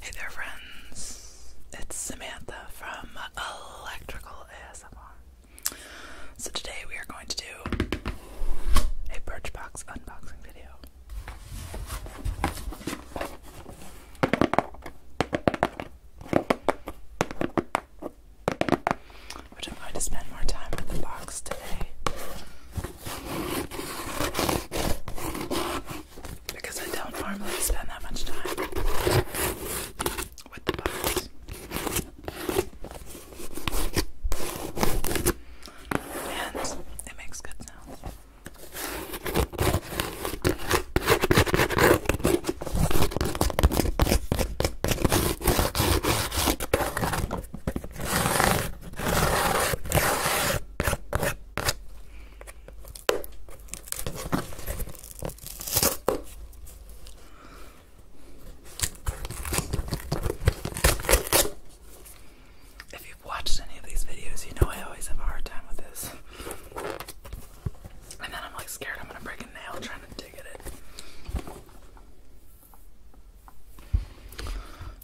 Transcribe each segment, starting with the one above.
Hey there, friends. It's Samantha from Electrical ASMR. So, today we are going to do a Birchbox unboxing video. Which I'm going to spend more time with the box today because I don't normally spend that much time with the box. And it makes good sounds. If you've watched any of these videos, you know I always have a hard time with this. And then I'm like scared I'm gonna break a nail trying to dig at it.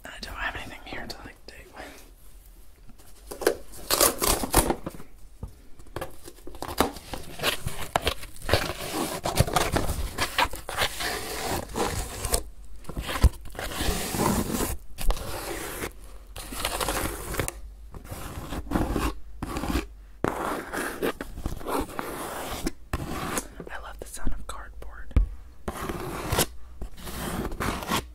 I don't have anything here to like dig with. I love the sound of cardboard.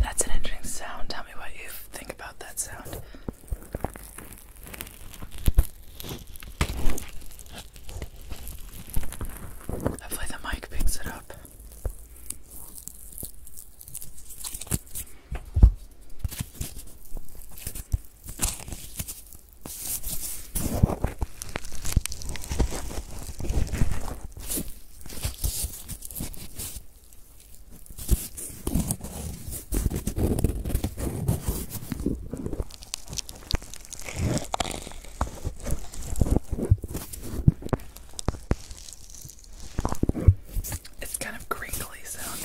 That's an interesting sound. Tell me what you think about that sound. Hopefully, the mic picks it up. It's kind of crinkly sounding.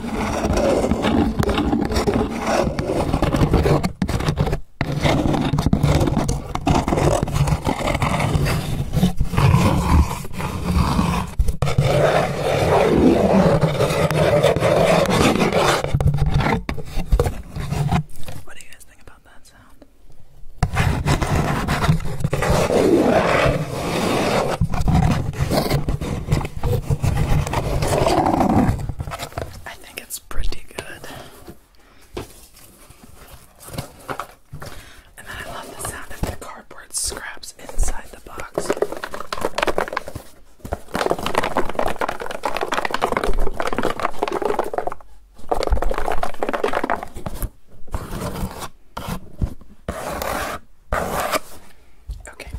What do you guys think about that sound? I think it's pretty good. And I love the sound of the cardboard scraps inside the box. Okay.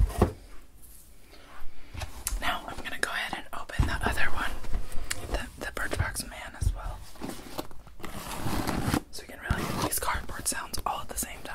Now I'm gonna go ahead and open the other one, the the Birchbox Man as well, so we can really get these cardboard sounds all at the same time.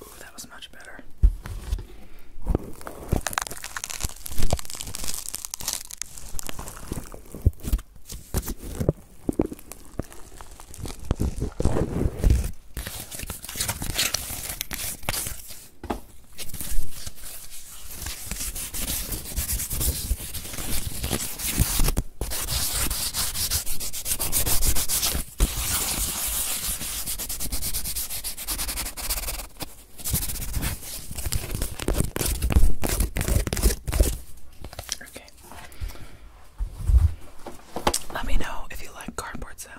Ooh, that was much better. Okay. Let me know if you like cardboard sounds.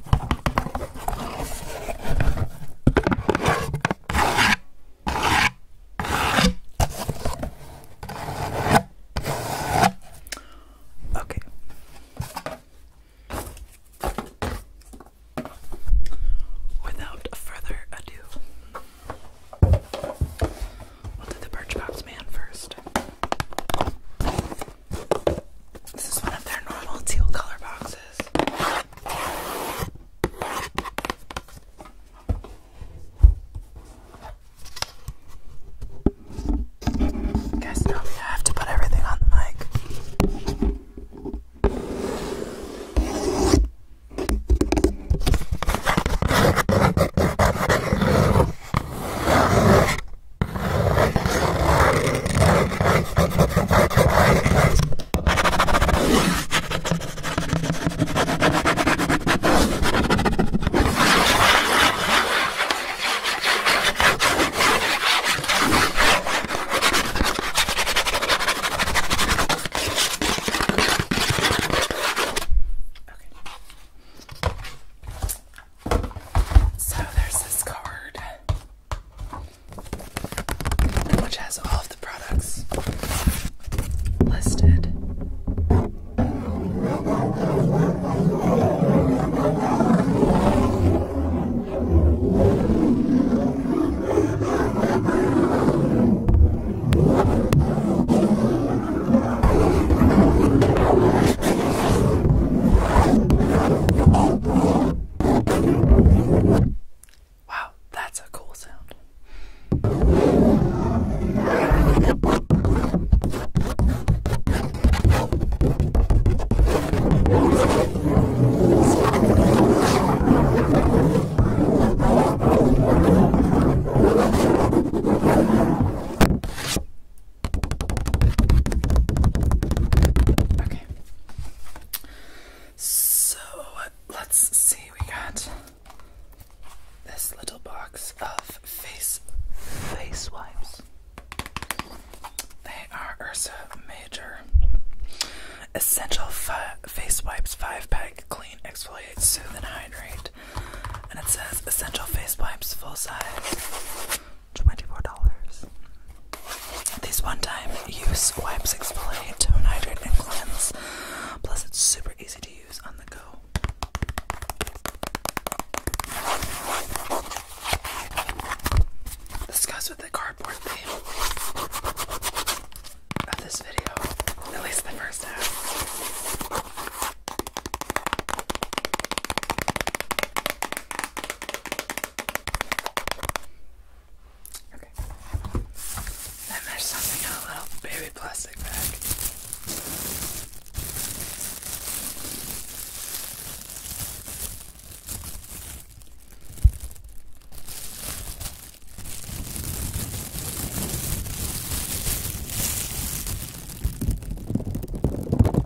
Okay. Without further ado, we'll do the Birchbox Man first. This is one of their normal teal color boxes. You guys know me, I have to put everything on the mic. Okay. So there's this card which has all of the products listed. Wow, that's a cool sound. Okay. So let's see, we got this little box of face face wipes. They are Ursa Major Essential Face Wipes 5 Pack Clean, Exfoliate, Soothe, and Hydrate. And it says Essential Face Wipes Full Size $24. These one-time use wipes exfoliate, tone, and cleanse. Plus, it's super easy to use on the go. This with the cardboard theme of this video, at least the first half. Okay. Then there's something in a little baby plastic bag.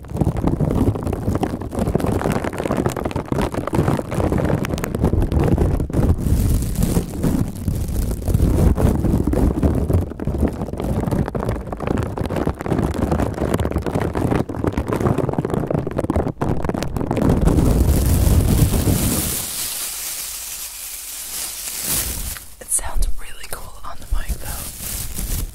It sounds really cool on the mic though.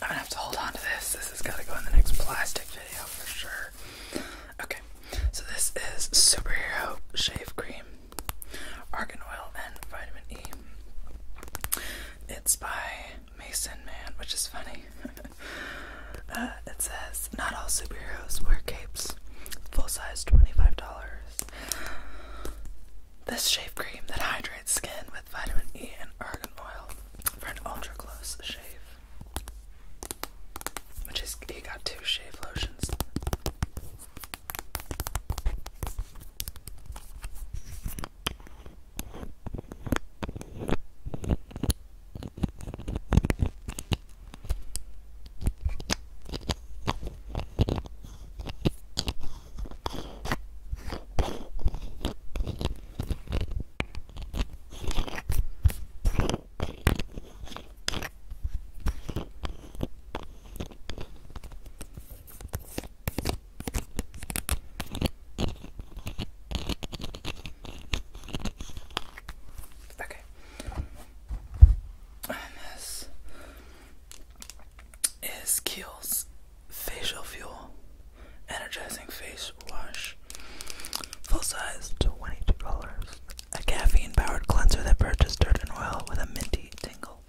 I'm gonna have to hold on to this. This has got to go in the next plastic video for sure. Okay, so this is Superhero Shave Cream, Argan Oil, and Vitamin E. It's by Mason Man, which is funny. Uh, it says, Not all superheroes wear capes. Full size $25. This shave cream that hydrates skin with vitamin E and argan oil for an ultra close shave. Which is, he got two shave lotions. Okay. And this is Kiehl's Facial Fuel Energizing Face Wash. Full size, $22. A caffeine powered cleanser that purges dirt and oil with a minty tingle.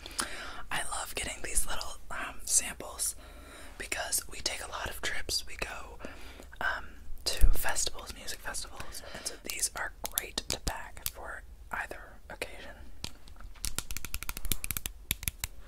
I love getting these little um, samples because we take a lot of trips. We go um, to festivals, music festivals, and so these are great to pack for either occasion.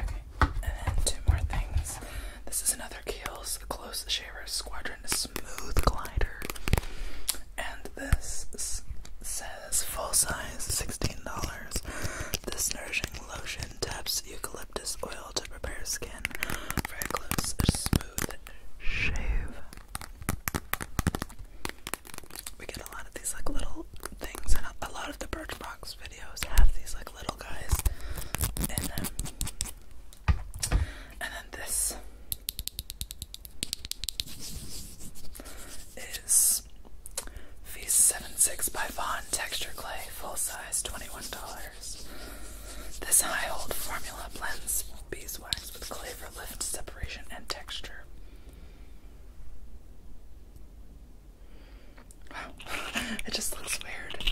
Okay, and two more things. This is another Kiehl's Close Shaver Squadron Smooth Glider. And this says full size $16. This nourishing lotion taps eucalyptus oil to prepare skin for a close, smooth shave. We get a lot of these like little things, and a lot of the Birchbox videos have these like little guys And then this is V76 by Vaughn Texture Clay, full size, $21. This high hold formula blends beeswax with clay for lift, separation, and texture. Wow, it just looks weird.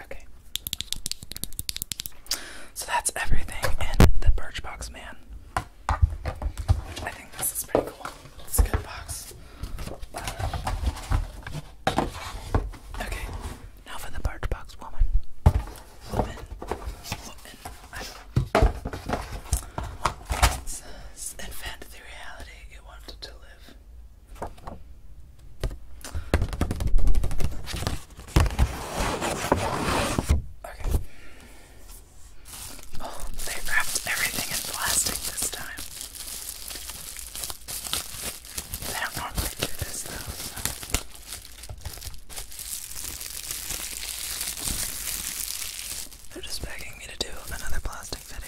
Okay. So that's everything in the Birchbox Man. Which I think this is pretty cool. It's a good box. Okay, now for the birch box woman. Woman. Woman. I don't know. It reality, you wanted to live. Okay. Oh, they wrapped everything in plastic this time. I don't normally do this though, They're just begging me to do another plastic video.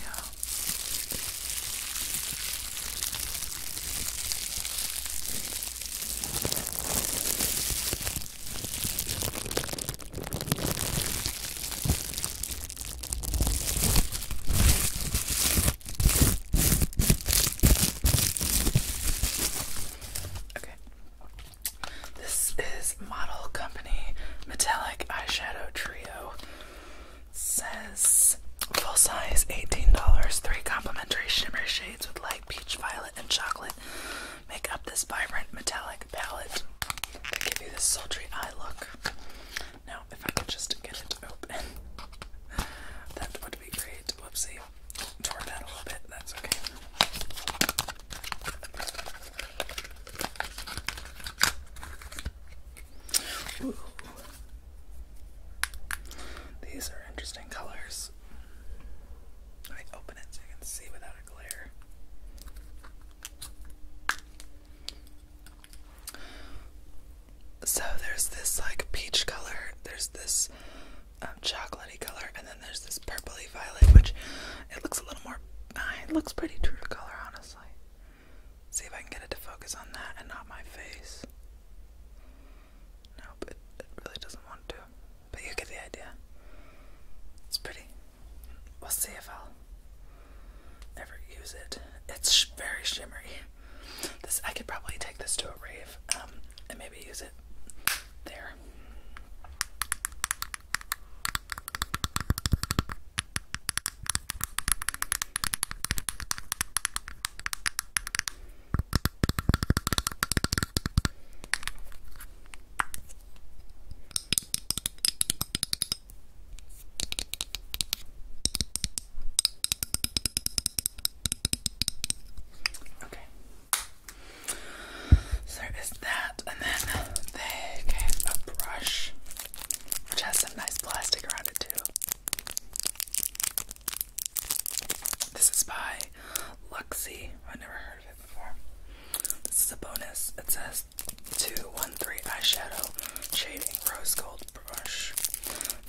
Okay. This is Model Company Metallic Eyeshadow Trio. says full size $18. Three complimentary shimmer shades with light peach, violet, and chocolate make up this vibrant metallic palette. to give you this sultry eye look. Now, if I could just get it open, that would be great. Whoopsie, tore that a little bit. That's okay. These are interesting colors. Let open it so you can see without a glare. So there's this like peach color, there's this um, chocolatey color, and then there's this purpley violet, which it looks a little more. Uh, it looks pretty true to color, honestly. See if I can get it to focus on that and not my face. Nope, it, it really doesn't want to. But you get the idea. It's pretty. We'll see if i Never use it. It's very shimmery. This I could probably take this to a rave um, and maybe use it there. Okay. So is that, and then they gave a brush, which has some nice plastic around it too. This is by Luxie. i never heard of it before. This is a bonus. It says 213 eyeshadow shading rose gold brush.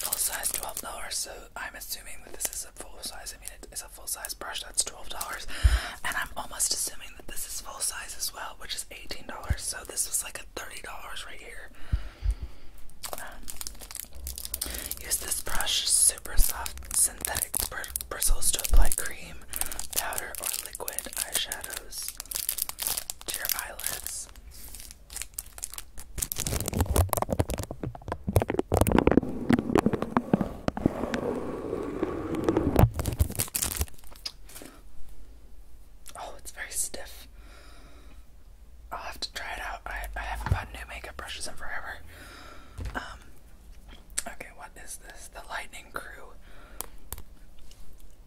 Full size $12. So I'm assuming that this is a full size. I mean, it's a full size brush that's $12. And I'm almost assuming that this is full size as well, which is $18. So this is like a $30 right here. Um, use this brush, super soft synthetic bristles to apply cream, powder, or liquid eyeshadows to your eyelids. Oh, it's very stiff. i have to try it out. I, I haven't bought new makeup brushes in forever. Um, okay, what is this? The light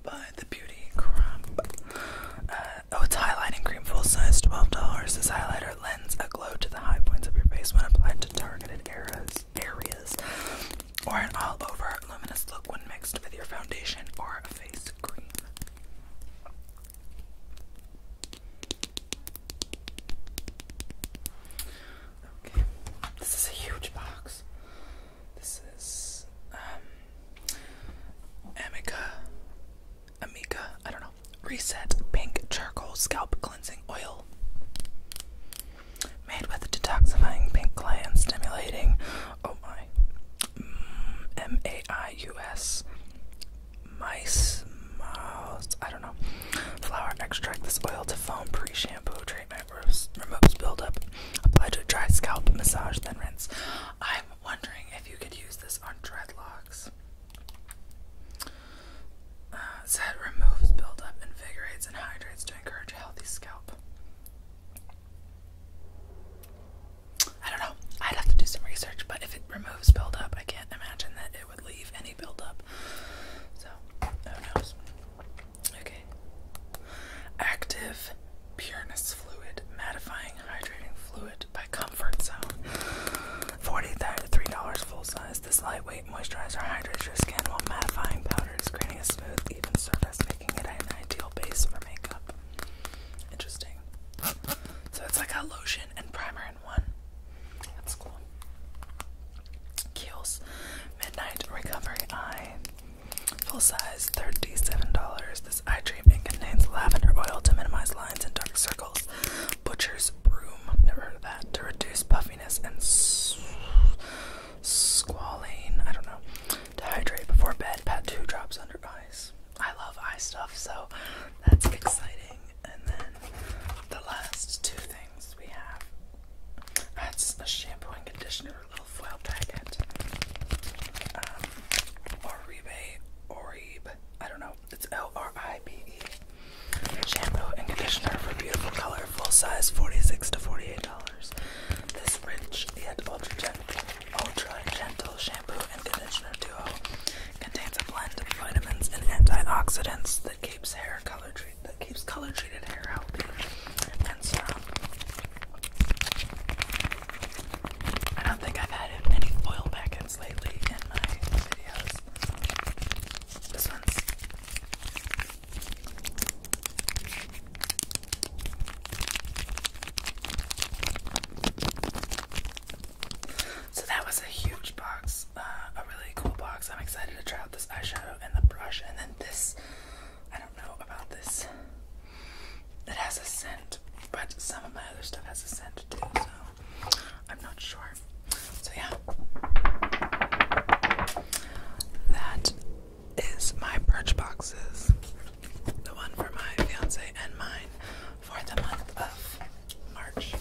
by the Beauty uh, oh, it's highlighting cream, full size, twelve dollars. This highlighter lends a glow to the high points of your face when applied to targeted areas, areas, or an all-over luminous look when mixed with your foundation or a face cream. Okay, this is a huge box. This is um, Amica Amica, I don't know. Reset Pink Charcoal Scalp Cleansing Oil. Made with detoxifying pink clay and stimulating oh my mm, M A I U S mice mouse I don't know flower extract this oil to foam pre shampoo hydrate my remotes buildup. Apply to dry scalp, massage, then rinse. I'm wondering if you could use this on dreadlocks. Uh, it removes buildup, invigorates, and hydrates to encourage healthy scalp. I don't know. I'd have to do some research, but if it removes buildup, I can't imagine that it would leave any buildup. So, who knows? Okay. Active pureness fluid, mattifying hydrating fluid by Comfort Zone. $43 full size. This lightweight moisturizer hydrates your skin while mattifying powders, creating a smooth, even surface, making it an ideal base for makeup. Interesting. So it's like a lotion and primer in one. That's cool. Kiehl's Midnight Recovery Eye Full size, $37. This eye treatment contains lavender oil to minimize lines and dark circles. Butcher's broom, never heard of that, to reduce puffiness and squalene, I don't know. To hydrate before bed, pat two drops under eyes. I love eye stuff, so that's exciting. And then the last two things we have that's a shampoo and conditioner your packet. Um, Oribe, Oribe, I don't know, it's L R I B E. Shampoo and conditioner for beautiful color, full size, forty-six to forty-eight dollars. This rich yet ultra gentle, ultra gentle shampoo and conditioner duo contains a blend of vitamins and antioxidants that keeps hair color that keeps color treated hair out and stuff. I don't think I've had any foil back lately in my videos. This one's so that was a huge box, uh, a really cool box. I'm excited to try out this eyeshadow and the brush, and then this don't know about this. It has a scent, but some of my other stuff has a scent too, so I'm not sure. So, yeah. That is my birch boxes. The one for my fiance and mine for the month of March.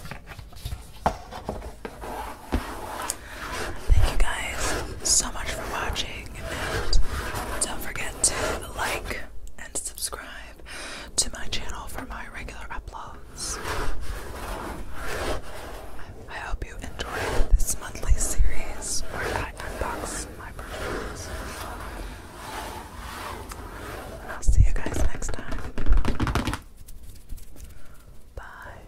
Thank you guys so much for watching, and don't forget to like and subscribe to my channel for my regular uploads. I hope you enjoyed this monthly series where I unbox my perfumes. And I'll see you guys next time. Bye.